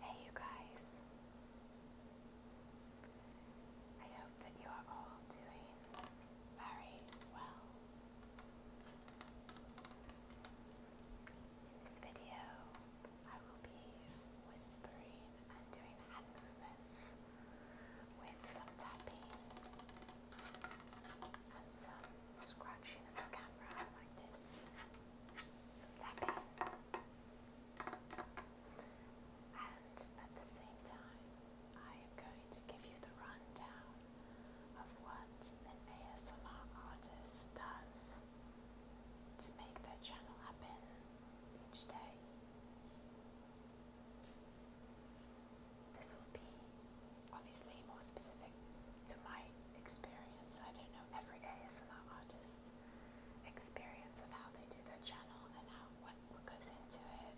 Hey, you guys. I hope that you are all doing very well. In this video, I will be whispering and doing hand movements with some tapping and some scratching of the camera like this. Some tapping. And at the same time, I am going to give you the rundown of what an ASMR artist does to make their channel happen each day. This will be obviously more specific to my experience. I don't know every ASMR artist's experience of how they do their channel and how what, what goes into it,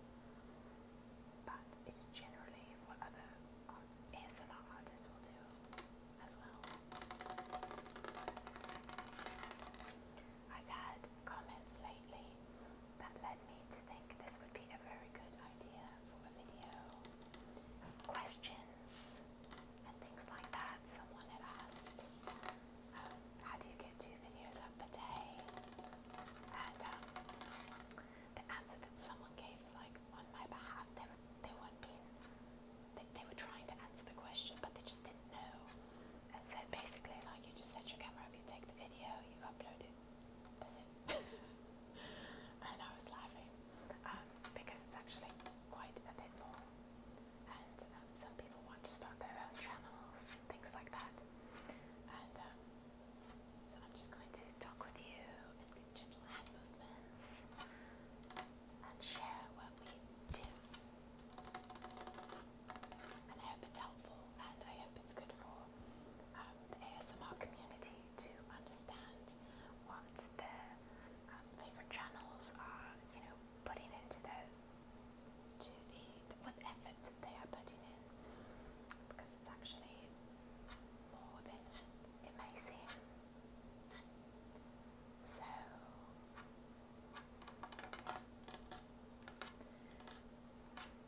but it's generally what other art, ASMR artists will do as well. I've had comments lately that led me to think this would be a very good idea for a video. Questions and things like that. Someone had asked, um, how do you get two videos up a day? And um, the answer that someone gave, like on my behalf, they they weren't being, they were trying to answer the question, but they just didn't know. And so basically, like you just set your camera up, you take the video, you upload it. That's it. and I was laughing um, because it's actually quite a bit more. And um, some people want to start their own channels, things like that. And um, so I'm just going to talk with you and do gentle hand movements and share what we do. And I hope it's helpful and I hope it's good for um, the ASMR community to understand what their um, favourite channels are, you know, putting into the, to the, what effort that they are putting in. Because it's actually more than it may seem. So,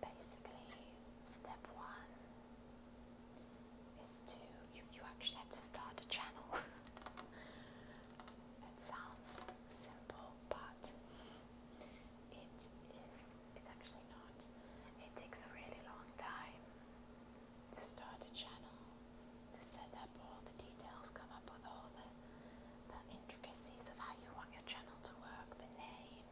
Basically, step one is to you, you actually have to start a channel. it sounds simple, but it is it's actually not. It takes a really long time to start a channel, to set up all the details, come up with all the the intricacies of how you want your channel to work, the name.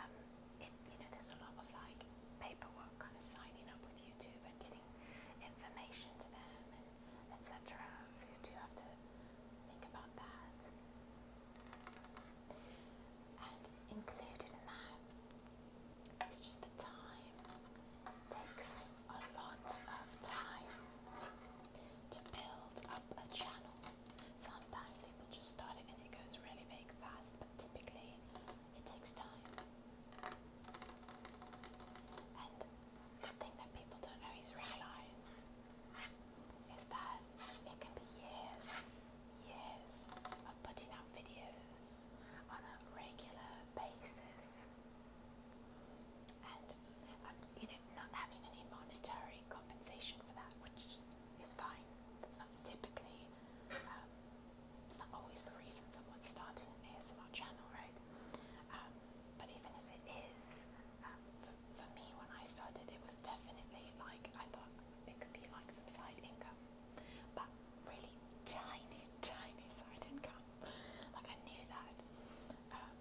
Um, it, you know, there's a lot of like paperwork, kind of signing up with YouTube and getting information to them, and etc. So you do have to think about that. And included in that is just the time. It takes a lot of time to build up a channel. Sometimes people just start it and it goes really big fast, but typically it takes time. And the thing that people don't always realize is that it can be years, years of putting out videos on a regular basis and you know not having any monetary compensation for that, which is fine. That's not typically, um, it's not always the reason someone's starting an ASMR channel, right? Um, but even if it is, um, for, for me when I started, it was definitely like I thought it could be like some side income, but really tiny, tiny side income. Like I knew that, um,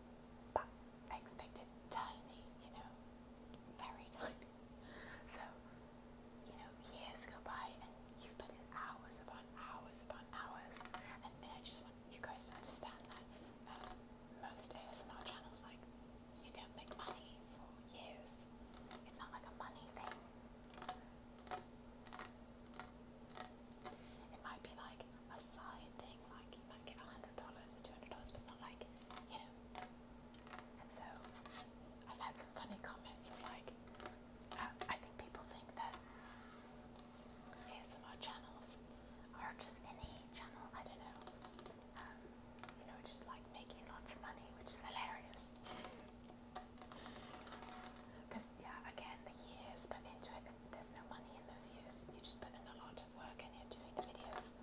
but I expected tiny, you know, very tiny. So, you know, years go by and you've put in hours upon hours upon hours. And, and I just want you guys to understand that um, most ASMR channels, like, you don't make money for years. It's not like a money thing. It might be like a side thing thing. Like you might get a hundred dollars or two hundred dollars, but it's not like you know. And so I've had some funny comments of like, uh, I think people think that ASMR channels are just any channel. I don't know. Um, you know, just like making lots of money, which is hilarious. Because, yeah, again, the years put into it, there's no money in those years. You just put in a lot of work in here doing the videos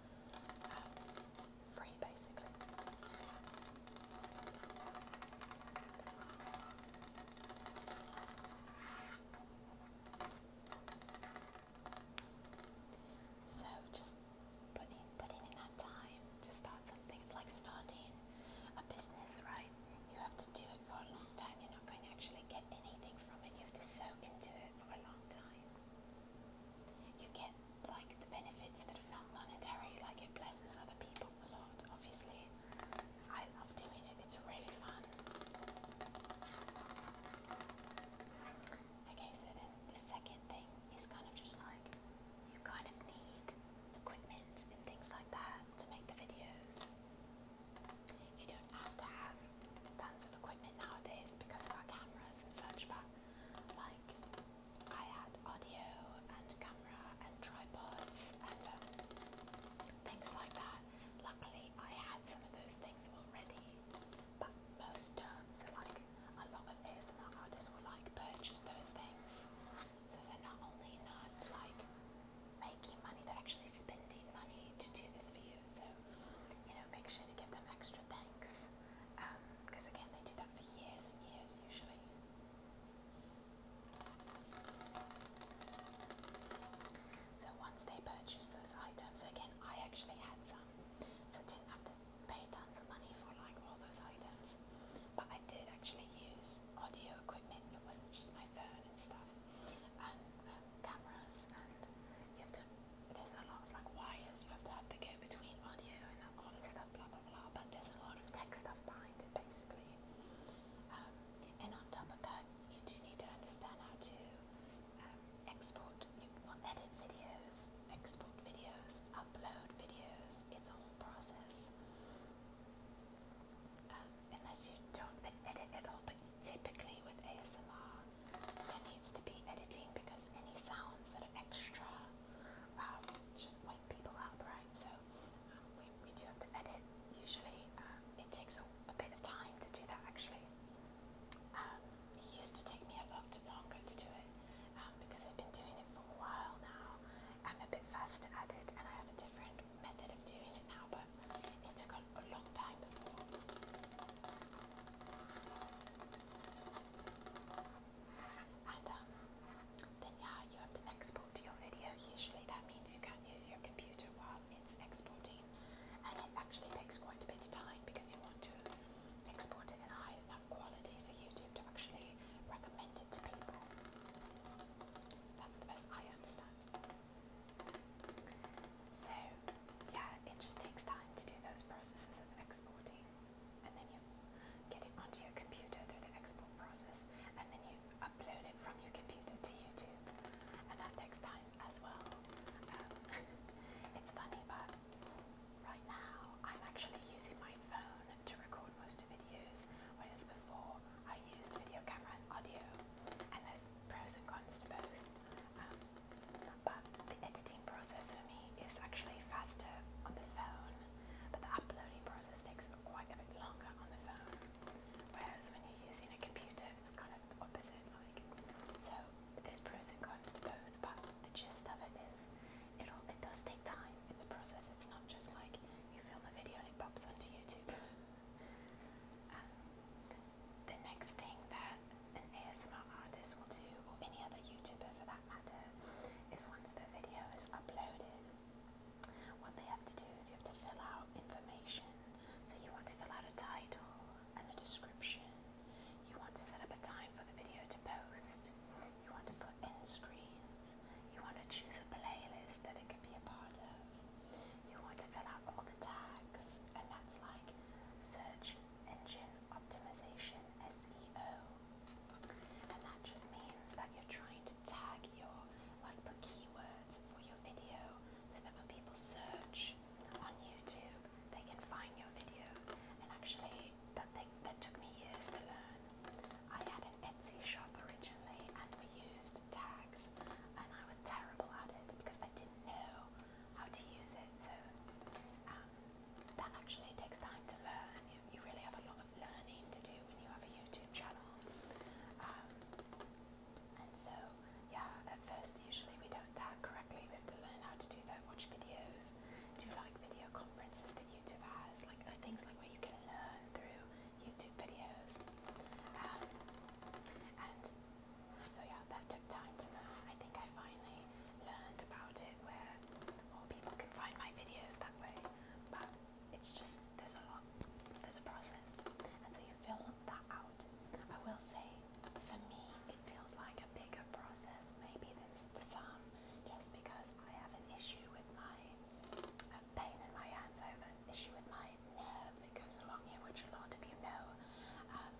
um, free basically. So just putting putting in that time to start something. It's like starting a business, right? You have to do it for a time, you're not going to actually get anything from it. You have to sow into it for a long time. You get like the benefits that are not monetary, like it blesses other people a lot, obviously. I love doing it, it's really fun. Okay, so then the second thing is kind of just like you kind of need equipment and things like that to make the videos. You don't have to have tons of equipment nowadays because of our cameras and such, but like I had audio and camera and tripods and um, things like that. Luckily, I had some of those things already, but most don't. So, like a lot of ASMR artists will like purchase those things, so they're not only not like making money, they're actually spending money to do this for you. So, you know, make sure to give them extra thanks. Because um, again, they do that for years and years usually. So once they purchase those items, again, I actually had some, so didn't have to pay tons of money for like all those items. But I did actually use audio equipment. It wasn't just my phone and stuff and um, um, cameras, and you have to. There's a lot of like wires you have to have to go between audio and all this stuff, blah blah blah. But there's a lot of tech stuff behind it, basically. Um, and on top of that, you do need to understand how to um, export, you well, edit videos, export videos, upload videos. It's a whole process. Um, unless you don't edit at all. But typically with ASMR, there needs to be editing because any sounds that are extra um, just wipe people out, right? So um, we, we do have to edit. Usually um, it takes a, a bit of time to do that actually. Um, it used to take me a lot longer to do it um, because I've been doing it for a while now. I'm a bit faster at it and I have a different method of doing it now, but it took a, long time before. And um, then yeah, you have to export your video. Usually that means you can't use your computer while it's exporting. And it actually takes quite a bit of time because you want to export it in high enough quality for YouTube to actually recommend it to people. That's the best I understand. So, yeah, it just takes time to do those processes of exporting, and then you get it onto your computer through the export process, and then you upload it from your computer to YouTube, and that takes time as well. Um, it's funny, but right now I'm actually using my phone to record most of videos, whereas before I used video camera and audio, and there's pros and cons to both. Um, but the editing process for me is actually faster on the phone, but the uploading process takes quite a bit longer on the phone. Whereas when you're using a computer, it's kind of the opposite. Like, so there's pros and cons to both, but the gist of it is, it is, it'll it does take time. It's a process. It's not just like you film a video and it pops onto YouTube. Um, the next thing that an ASMR artist will do, or any other YouTuber for that matter, is once the video is uploaded, what they have to do is you have to fill out information. So you want to fill out a title and a description. You want to set up a time for the video to post. You want to put end screens. You want to choose a playlist that it can be a part of you want to fill out all the tags, and that's like search engine optimization SEO. And that just means that you're trying to tag your, like, put keywords for your video so that when people search on YouTube, they can find your video. And actually, that thing that took me years to learn. I had an Etsy shop originally, and we used tags, and I was terrible at it because I didn't know how to use it. So um, that actually takes time to learn. You, really have a lot of learning to do when you have a YouTube channel. Um, and so, yeah, at first usually we don't tag correctly. We have to learn how to do that, watch videos, do like video conferences that YouTube has, like uh, things like where you can learn through YouTube videos. Um, and so yeah, that took time to learn. I think I finally learned about it where more people can find my videos that way. But it's just, there's a lot, there's a process. And so you fill that out. I will say, for me, it feels like a bigger process maybe than for some, just because I have an issue with my a pain in my hands. I have an issue with my nerve that goes along here, which a lot of you know, um,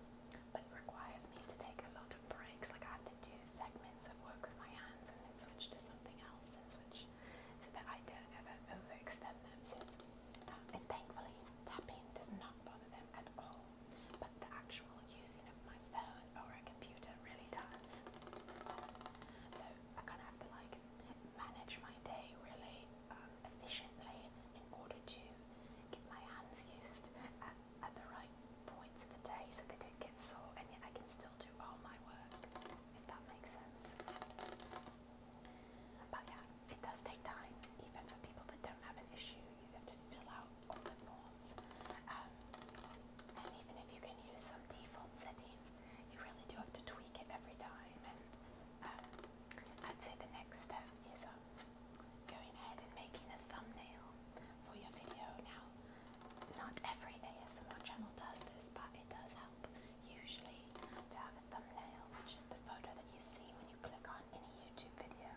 but requires me to take a lot of breaks. Like I have to do segments of work with my hands and switch to something else and switch so that I don't ever overextend them. So um, and thankfully, tapping does not bother them at all, but the actual using of my phone or a computer really does. So I kind of have to like manage my day really um, efficiently in order to get my hands used at, at the right points of the day so they don't get sore and yet I can still do all my work, if that makes sense. But yeah, it does take time, even for people that don't have an issue. You have to fill out all the forms. Um, and even if you can use some default settings, you really do have to tweak it every time. And um, I'd say the next step is um, going ahead and making a thumbnail for your video. Now, not every ASMR channel does this, but it does help usually to have a thumbnail, which is the photo that you see when you click on any YouTube video.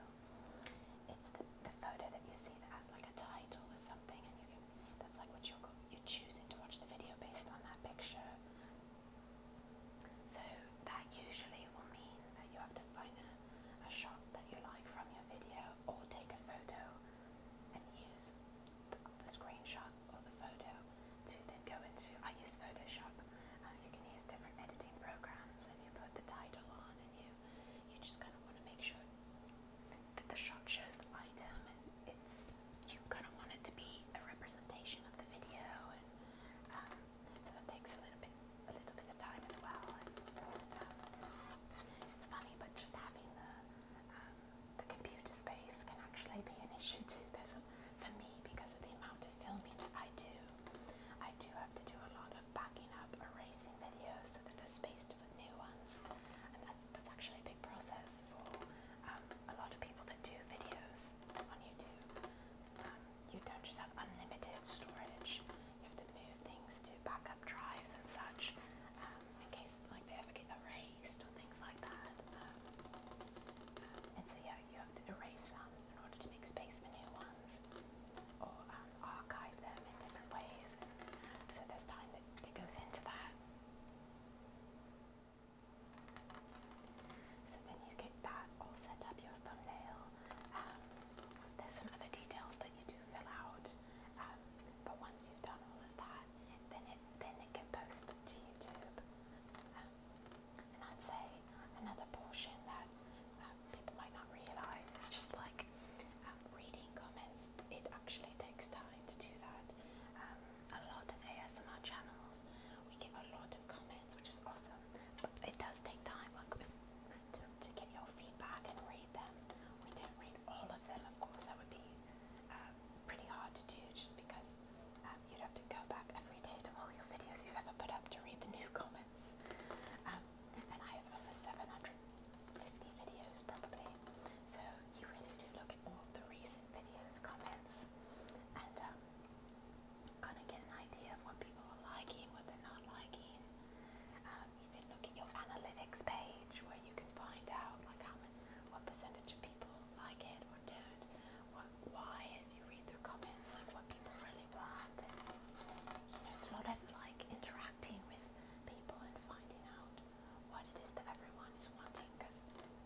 It's the, the photo that you see that has like a title or something, and you can that's like what you're, you're choosing to watch the video based on that picture. So that usually will mean that you have to find a, a shot that you like from your video or take a photo and use the, the screenshot or the photo to then go into, I use Photoshop, uh, you can use different editing programs and you put the title on and you, you just kind of want to make sure that the shot shows the item and it's you kind of want it to be a representation of the video, and um, so that takes a little bit, a little bit of time as well. Um, it's funny, but just having the um, the computer space can actually be an issue too. There's for me because of the amount of filming that I do, I do have to do a lot of backing up, erasing videos so that there's space to put new ones, and that's that's actually a big process for a lot of people that do videos videos on YouTube. Um, you don't just have unlimited storage. You have to move things to backup drives and such um, in case like they ever get erased or things like that. Um, um, and so yeah, you have to erase some in order to make space for new ones or um, archive them in different ways. So there's time that, that goes into that. So then you get that all set up, your thumbnail. Um, there's some other details that you do fill out, um, but once you've done all of that, then it then it can post to YouTube. Um, and I'd say another portion that people might not realize is just like reading comments. It actually takes time to do that a lot of ASMR channels. We get a lot of comments, which is awesome. But it does take time like, if, to, to get your feedback and read them. We don't read all of them, of course. That would be uh, pretty hard to do just because um, you'd have to go back every day to all your videos you've ever put up to read the new comments. Um, and I have over 750 videos probably. So you really do look at all of the recent likes, videos, comments, and um, kind of get an idea of what people are liking, what they're not liking. Um, you can look at your analytics page where you can find out like how many, what percentage of people like it or don't. What, why, as you read through comments, like what people really want. And, you know, it's a lot of like interacting with people and finding out what it is that everyone is wanting because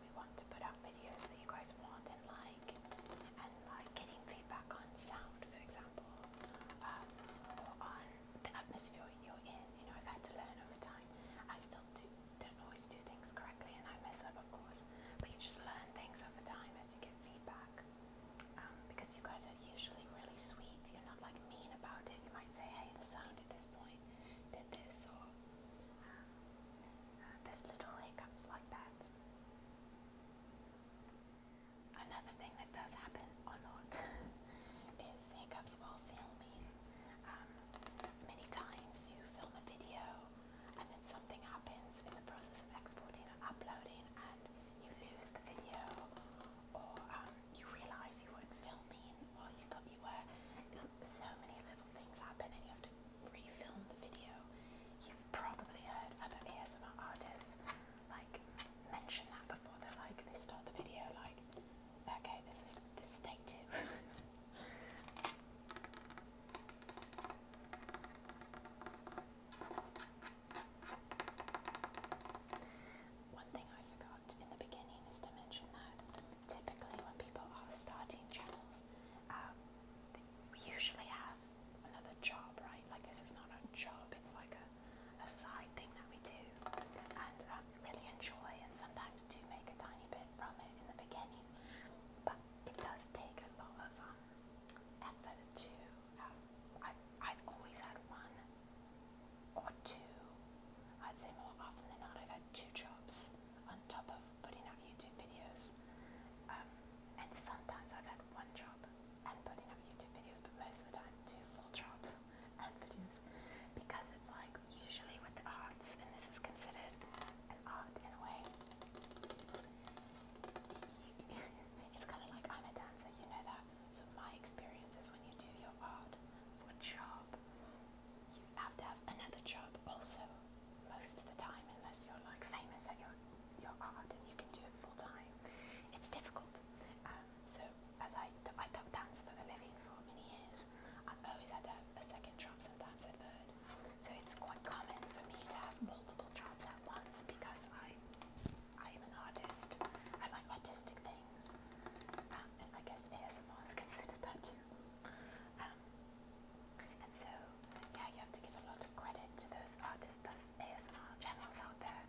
we want to put out videos that you guys want and like, and like getting feedback on sound, for example, um, or on the atmosphere you're in. You know, I've had to learn over time. I still do, don't always do things correctly, and I mess up, of course. But you just learn things over time as you get feedback. Um, because you guys are usually really sweet, you're not like mean about it. You might say, "Hey, the sound at this point did this," or um, this little hiccups like that. Another thing that does happen a lot is hiccups while filming. Um, many times you film a video and then something happens in the process of exporting or uploading and you lose the video or um, you realize you weren't filming or you thought you were so many little things happen and you have to refilm the video. You've probably heard other ASMR artists like mention that before. They're like they start the video like, okay, this is this is two. One thing I forgot in the beginning is to mention that typically when people are starting channels, um, they usually have another job, right? Like this is not a job, it's like a, a side thing that we do and um, really enjoy and sometimes do make a tiny bit from it in the beginning. But it does take a lot of um, effort to, um, I've, I've always had one or two, I'd say more often than not I've two jobs on top of putting out YouTube videos. Um, and sometimes I've had one job and putting out YouTube videos, but most of the time two full jobs and videos. Because it's like usually with the arts, and this is considered an art in a way. it's kind of like I'm a dancer, you know that. So my experience is when you do your art for a job, you have to have another job also most of the time unless you're like famous at your your art and you can do it full time. It's difficult. Um, so as I I taught dance for a living for many years, I've always had to have a second job, sometimes a third. So it's quite common for me to have multiple jobs at once because I I am an artist. I like artistic things, um, and I guess ASMR is considered that too. Um, and so, yeah, you have to give a lot of credit to those artists, those ASMR channels out there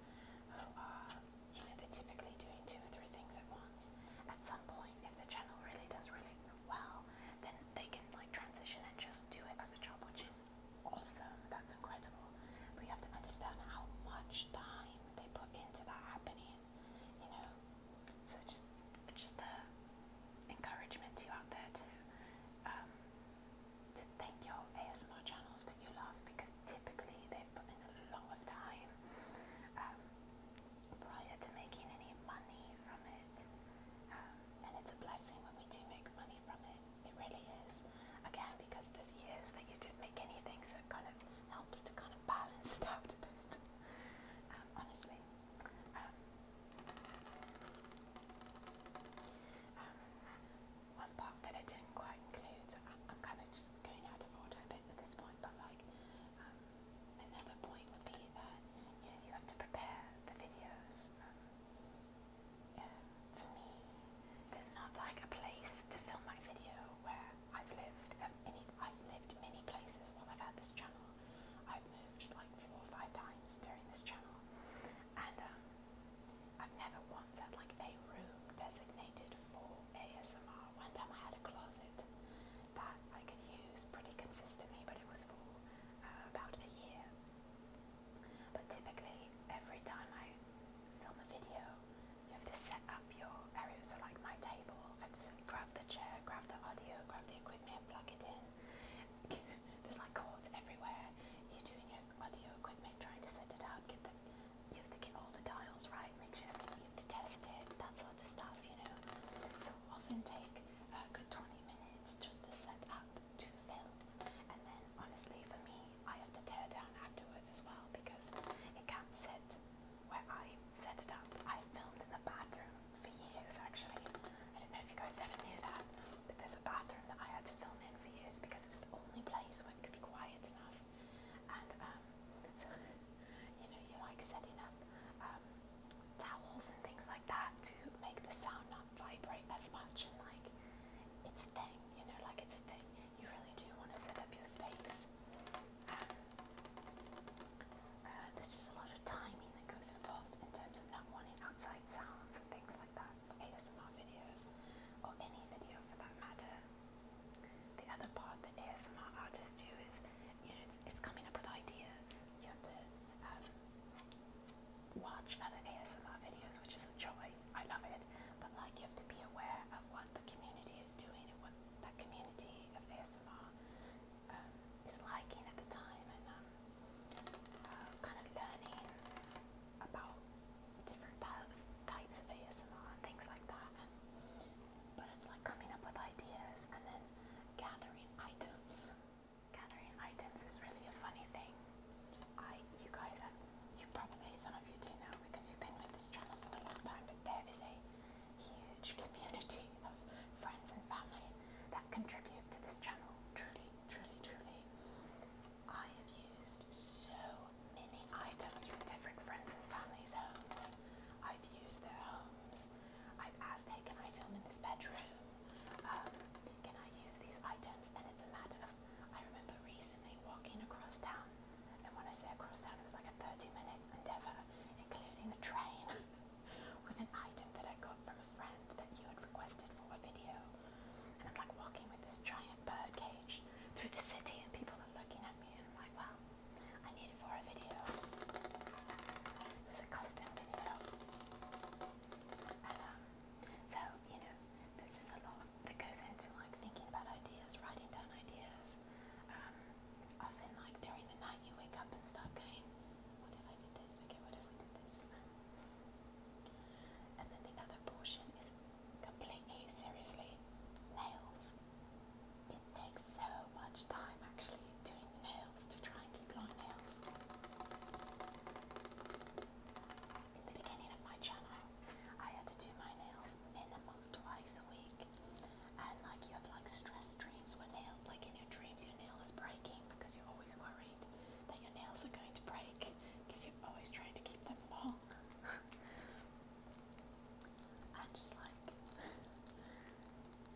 who are, you know, they're typically doing two or three things at once. At some point, if the channel really does really well, then they can like transition and just do it as a job, which is awesome. That's incredible. But you have to understand how much time they put into that happening you know. So just just a encouragement to you out there to um, to thank your ASMR channels that you love because typically they've put in a lot of time um, prior to making any money from it. Um, and it's a blessing when we do make money from it. It really is. Again, because there's years that you did make anything, so kind of helps to kind of balance it out um, honestly, um, um, one part that I didn't quite include. I'm, kind of just going out of order a bit at this point, but like another point would be that you you have to prepare the videos. for me, there's not like a place to film my video where I've lived i uh, I've lived many places while I've had this channel. I've moved like four or five times during this channel, and um, I've never once had like a room designated for ASMR. One time I had a closet that I could use pretty consistently, but it was for uh, about a year. But typically, every time I film a video, you have to set up up your area. So like my table, I just grab the chair, grab the audio, grab the equipment, plug it in. There's like cords everywhere. You're doing your audio equipment, trying to set it up, get the you have to get all the dials right, make sure everything you have to test it, that sort of stuff, you know. So often take a good 20 minutes just to set up to film. And then honestly for me I have to tear down afterwards as well because it can't sit where I set it up. I filmed in the bathroom for years actually. I don't know if you guys ever knew that, but there's a bathroom that I had to film in for years because it was the only place where it could be quiet enough. And um, so, you know, you like setting up um, towels and things like that to make the sound not vibrate as much. And like, it's a thing, you know, like it's a thing. You really do want to set up your space. Uh, there's just a lot of timing that goes involved in terms of not wanting outside sounds and things like that for ASMR videos or any video for that matter. The other part that ASMR artists do is, you know, it's, it's coming up with ideas. You have to um, watch other ASMR videos, which is a joy. I love it. But like, you have to be aware of what the community is doing and what that community of ASMR ASMR um, is liking at the time and um, uh, kind of learning about different types, types of ASMR and things like that. And, but it's like coming up with ideas and then gathering items. Gathering items is really a funny thing. I, you guys, have, you probably some of you do know because you've been with this channel for a long time. But there is a huge community of friends and family that contribute to this channel. Truly, truly, truly. I have used so many items from different friends and families' homes. I've used their homes. I've asked, hey, can I film in this bedroom? Um, can I use these items? And it's a matter of, I remember recently walking across town and when I say across town, it was like a 30 minute endeavour, including a train with an item that I got from a friend that you had requested for a video. And I'm like walking with this giant bird cage through the city, and people are looking at me, and I'm like, well, I need it for a video. It was a custom video. And um, so, you know, there's just a lot that goes into like thinking about ideas, writing down ideas, um, often, like during the night, you wake up and start going, What if I did this? Okay, what if we did this? Um, and then the other portion is completely, seriously, nails. It takes so much time actually doing nails to try and keep long nails. In the beginning of my channel, I had to do my nails minimum twice a week and like you have like stress dreams where nail like in your dreams your nail is breaking because you're always worried that your nails are going to break because you're always trying to keep them long and just like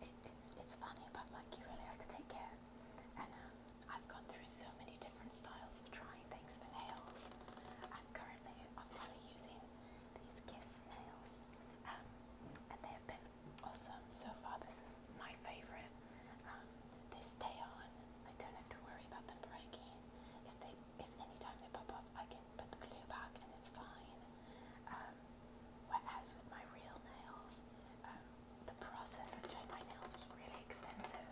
it, it's, it's funny but like you really have to take care and um, I've gone through so many different styles of trying things for nails I'm currently obviously using these kiss nails, um, and they have been awesome so far. This is my favorite. This um, they on. I don't have to worry about them breaking. If they, if any time they pop off, I can put the glue back and it's fine. Um, whereas with my real nails, the process of doing my nails was really extensive.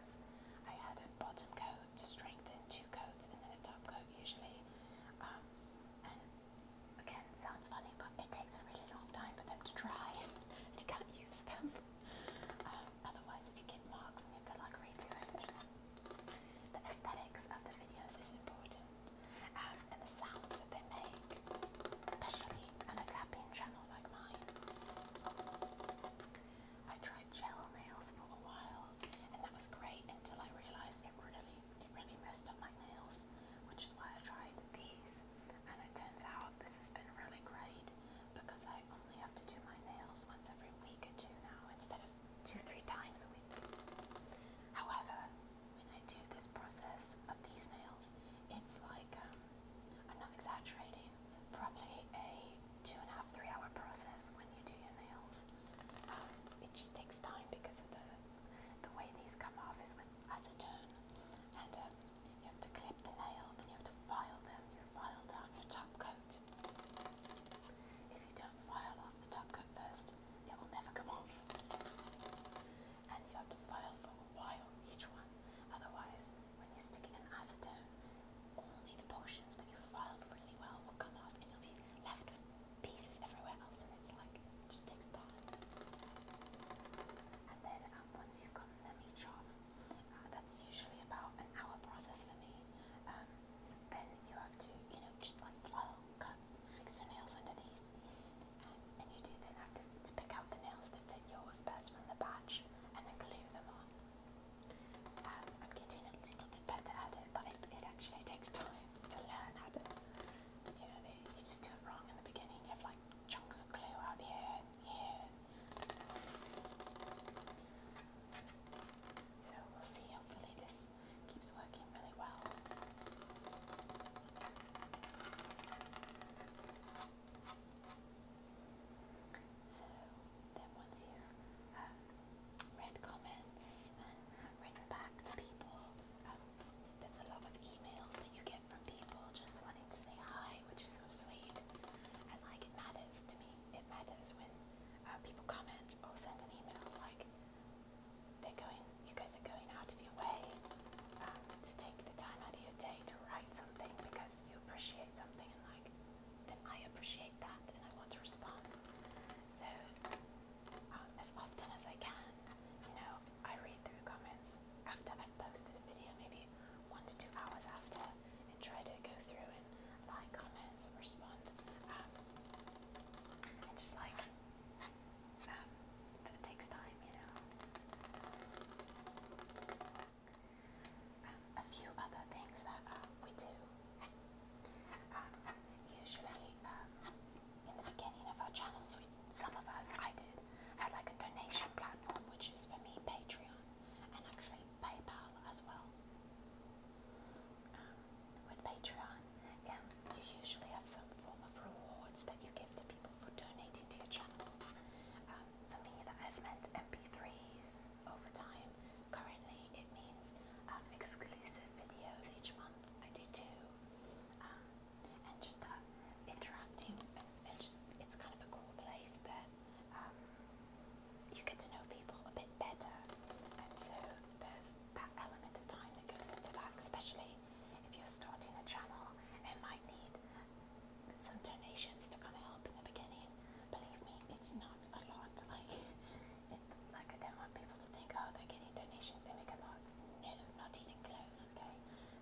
I had a bottom coat to strengthen, two coats, and then a top coat usually again, sounds funny, but it takes a really long time for them to dry, and you can't use them. Um, otherwise, if you get marks, you have to like redo it. The aesthetics of the videos is important, um, and the sounds that they make, especially on a tapping channel like mine. I tried gel nails for a while, and that was great until I realized it really it really messed up my nails, which is why I tried these. And it turns out this has been really great because I only have to do my nails once every week or two now instead of two, three times a week. However, when I do this process of these nails, it's like, um, I'm not exaggerating, probably a two and a half, three hour process when you do your nails it just takes time because of the the way these come off is with acetone, and um, you have to clip the nail, then you have to file them. You file down your top coat. If you don't file off the top coat first, it will never come off. And you have to file for a while each one. Otherwise, when you stick in acetone, only the portions that you filed really well will come off, and you'll be left with pieces everywhere else, and it's like just takes time. And then um, once you've gotten them each off, uh, that's usually about an hour process for me. Um, then you have to, you know, just like file, cut, fix your nails underneath, and, you do then have to, to pick out the nails that fit yours best from the batch, and then glue them on. Um, I'm getting a little bit better at it, but it, it actually takes time to learn how to, you know, you just do it wrong in the beginning. You have like chunks of glue out here and here. So we'll see, hopefully this keeps working really well. So then once you've uh, um, read comments and written back to people. Um, there's a lot of emails that you get from people just wanting to say hi, which is so sweet. And like it matters to me. It matters when uh, people comment or send an email like they're going. You guys are going out of your way um, to take the time out of your day to write something because you appreciate something and like then I appreciate that and I want to respond. So, um, as often as I can, you know, I read through comments after I've posted a video, maybe one to two hours after, and try to go through and like comments and respond. Um, and just like, um, that takes time, you know. Um, a few other things that uh, we do um, usually, um, in the beginning of our channels, we, some of us, I did, had like a donation platform, which is for me Patreon and actually PayPal as well. Um, with Patreon, um, you usually have some form of rewards that you give to people for donating to your channel. Um, for me, that has meant MP3s, over time. Currently, it means um, exclusive videos each month. I do two, um, and just uh, interacting, and, just it's kind of a cool place that um, you get to know people a bit better, and so there's that element of time that goes into that, especially if you're starting a channel and might need some donations to kind of help in the beginning believe me, it's not a lot. Like, it, like I don't want people to think, oh, they're getting donations, they make a lot. No, not even close. Okay,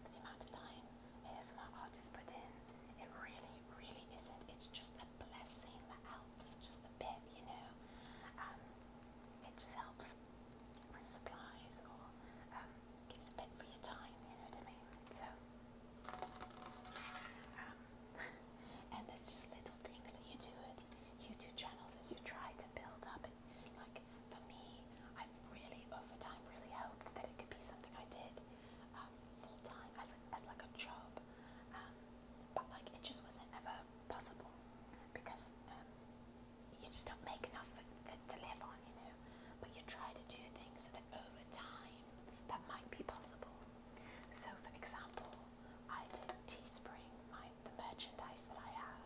but the amount of time ASMR artists uh, put in, it really, really isn't. It's just a blessing that helps just a bit, you know. Um, it just helps with supplies or um, gives a bit for your time, you know what I mean? So, um, and there's just little things that you do with YouTube channels as you try to build up. And like for me, I've really over time really hoped that it could be something I did um, full time as, a, as like a job, um, but like it just wasn't ever possible because um, you just don't make enough for, for, to live on, you know. But you try to do things so that over time that might be possible. So, for example, I did Teespring, my, the merchandise that I have.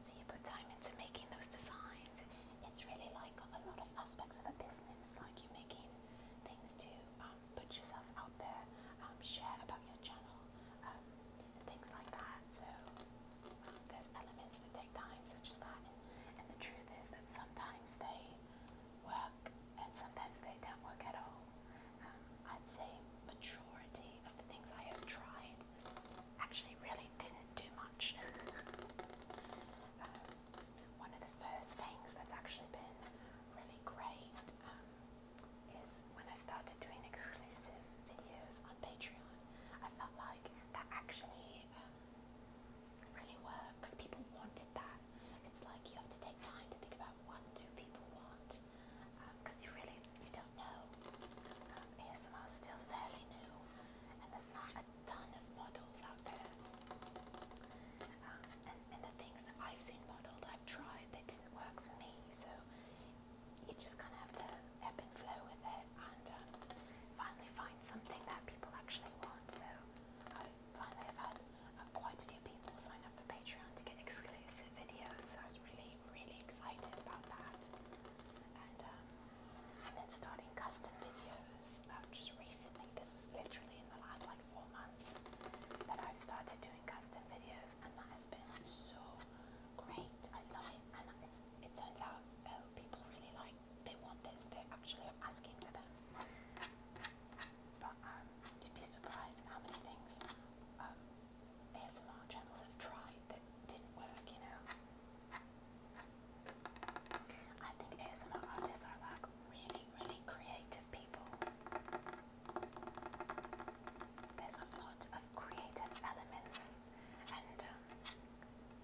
So, you put time into making those designs. It's really like a lot of aspects of a business, like you making things to um, put yourself out there, um, share about your channel, um, and things like that. So, um, there's elements that take time, such as that. And, and the truth is that sometimes they work, and sometimes they don't work at all. Um, I'd say majority of the things I have tried actually really didn't do much. um, one of the first things that's actually been really great um, is when I started doing exclusive videos on Patreon. I felt like that actually um, really worked. Like people wanted that. It's like you have to take time to think about about what do people want because um, you really you don't know. Um, ASMR is still fairly new, and there's not a ton of models out there. Um, and, and the things that I've seen modeled, I've tried, they didn't work for me. So you just kind of have to ebb and flow with it, and um, finally find something that people actually want. So I finally I've had uh, quite a few people sign up for Patreon to get exclusive videos, so I was really, really excited about that. And, um, then starting custom videos um, just recently, this was literally in the last like four months that I've started doing custom videos, and that has been so great. I love it, and it turns out uh, people really like they want this, they actually are asking for them. But um, you'd be surprised how many things um, ASMR channels have tried that didn't work, you know? I think ASMR artists are like really, really creative people. There's a lot of creative elements and um,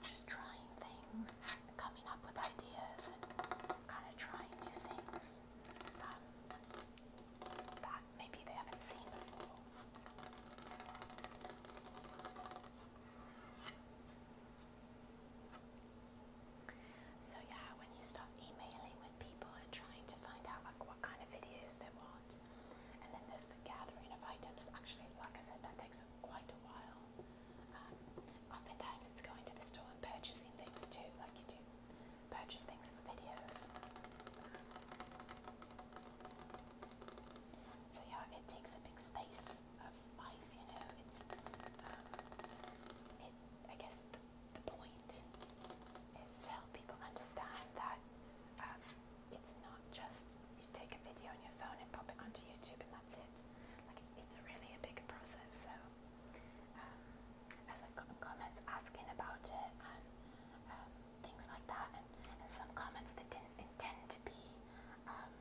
just trying things, coming up with ideas, and kind of trying new things um, that maybe they haven't seen before. So yeah, when you start emailing with people and trying to find out like what kind of videos they want, and then there's the gathering of items. Actually, like I said, that takes quite a while. Um, oftentimes, it's going to the store and purchasing things too, like you do purchase things for videos. So yeah, it takes a big space of life, you know. It's, um, I guess the, the point is to help people understand that um, it's not just you take a video on your phone and pop it onto YouTube and that's it. Like it's really a big process. So um, as I've gotten comments asking about it and um, things like that, and, and some comments that didn't intend to be um,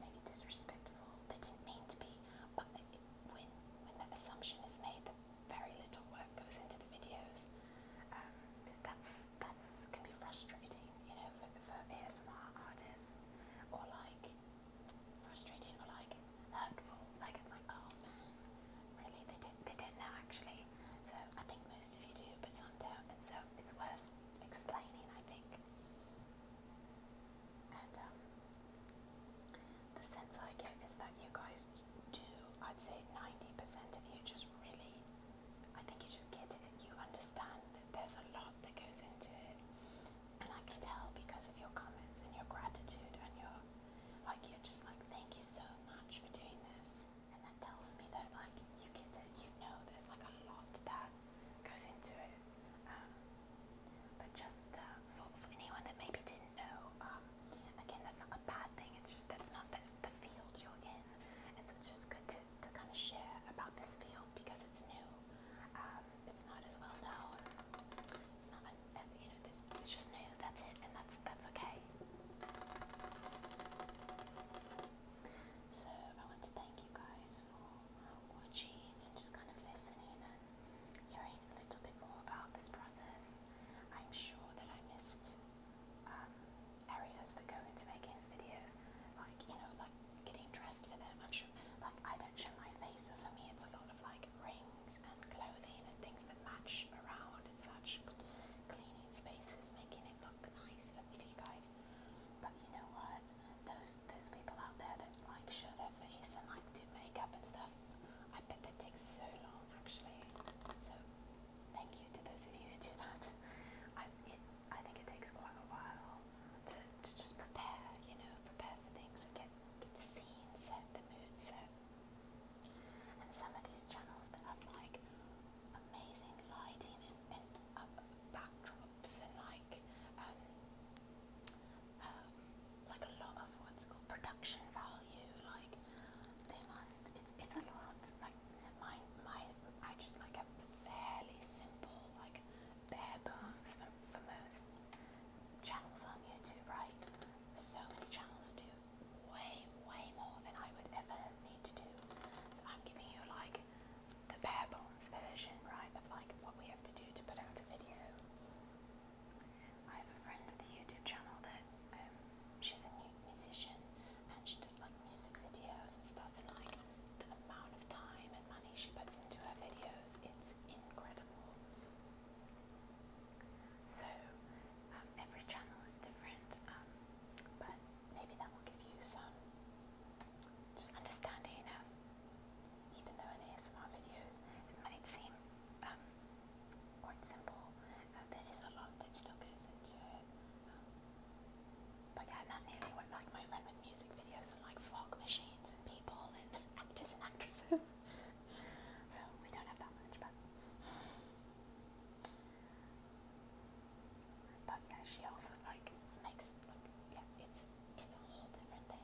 maybe disrespectful, they didn't mean to be, but it, it, when when the assumption is made that very little work goes into the videos, um, that's that's can be frustrating, you know, for, for ASMR artists or like frustrating or like hurtful. Like it's like, oh man, really? They did they did now actually. So I think most of you do, but some don't, and so it's worth explaining, I think. And um, the sense I get is that you guys do, I'd say 90% of you just really, I think you just get it, you understand that there's a lot that goes into it and I can tell because of your comments and your gratitude and your like you're just like thank you so much for doing this and that tells me that like you get to you know there's like a lot that goes into it um, but just uh, for, for anyone that maybe didn't know um, again that's not a bad thing it's just that's not the, the field you're in and so it's just good to, to kind of share about this field because it's new um, it's not as well known. It's not, you know, this it's just new. That's it, and that's that's okay. So I want to thank you guys for watching and just kind of listening and hearing a little bit more about this process. I'm sure that I missed um, areas that go into making videos, like you know, like getting dressed for them. I'm sure, like, I don't show my face, so for me, it's a lot of like rings and clothing and things that match around and such. Cleaning spaces, making it look nice for you guys. But you know what? Those those people out there that like show their face and like do makeup and stuff, I bet that takes so long actually. So thank you to those of you who do that. I it, I think it takes quite a while to, to just prepare, you know, prepare for things and get, get the scene set, the mood set. And some of these channels that have like amazing lighting and, and uh, backdrops and like um, um, like a lot of what's called production value. Like they must. It's it's a lot. Like my my I just like a fairly simple like bare bones for for most channels on YouTube, right? So many channels do way, way more than I would ever need to do. So I'm giving you like the bare bones version, right, of like what we have to do to put out a video. I have a friend with a YouTube channel that um, she's a new musician and she does like music videos and stuff and like the amount of time and money she puts into her videos, it's incredible. So, um, every channel is different, um, but maybe that will give you some just understanding of, even though in ASMR videos it might seem um, quite simple, uh, there is a lot that still goes into it. Um, but yeah, not nearly what like my friend with music videos and like fog machines machines and people and actors and actresses. so we don't have that much, but. But yeah, she also like makes like yeah, it's it's a whole different thing.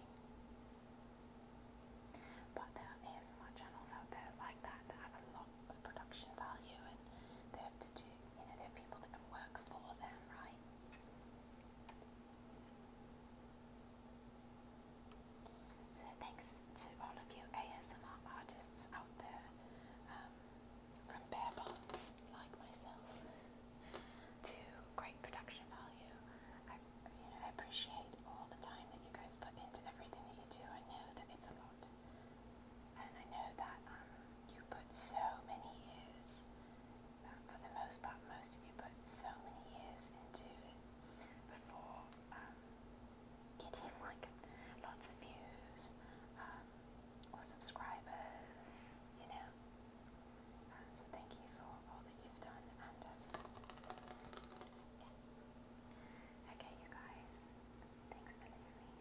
But there are ASMR channels out there like that that have a lot of production value and they have to do you know, there are people that work for them, right? So thanks to all of you ASMR artists out there um, from bare bones like myself to great production value. I, I appreciate all the time that you guys put into everything that you do. I know that it's a lot. And I know that um, you put so many years for the most part, most of you put so many years into before getting um, like lots of views um, or subscribers, you know. Um, so thank you for all that you've done, and yeah. Okay, you guys, thanks for listening.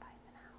Bye for now.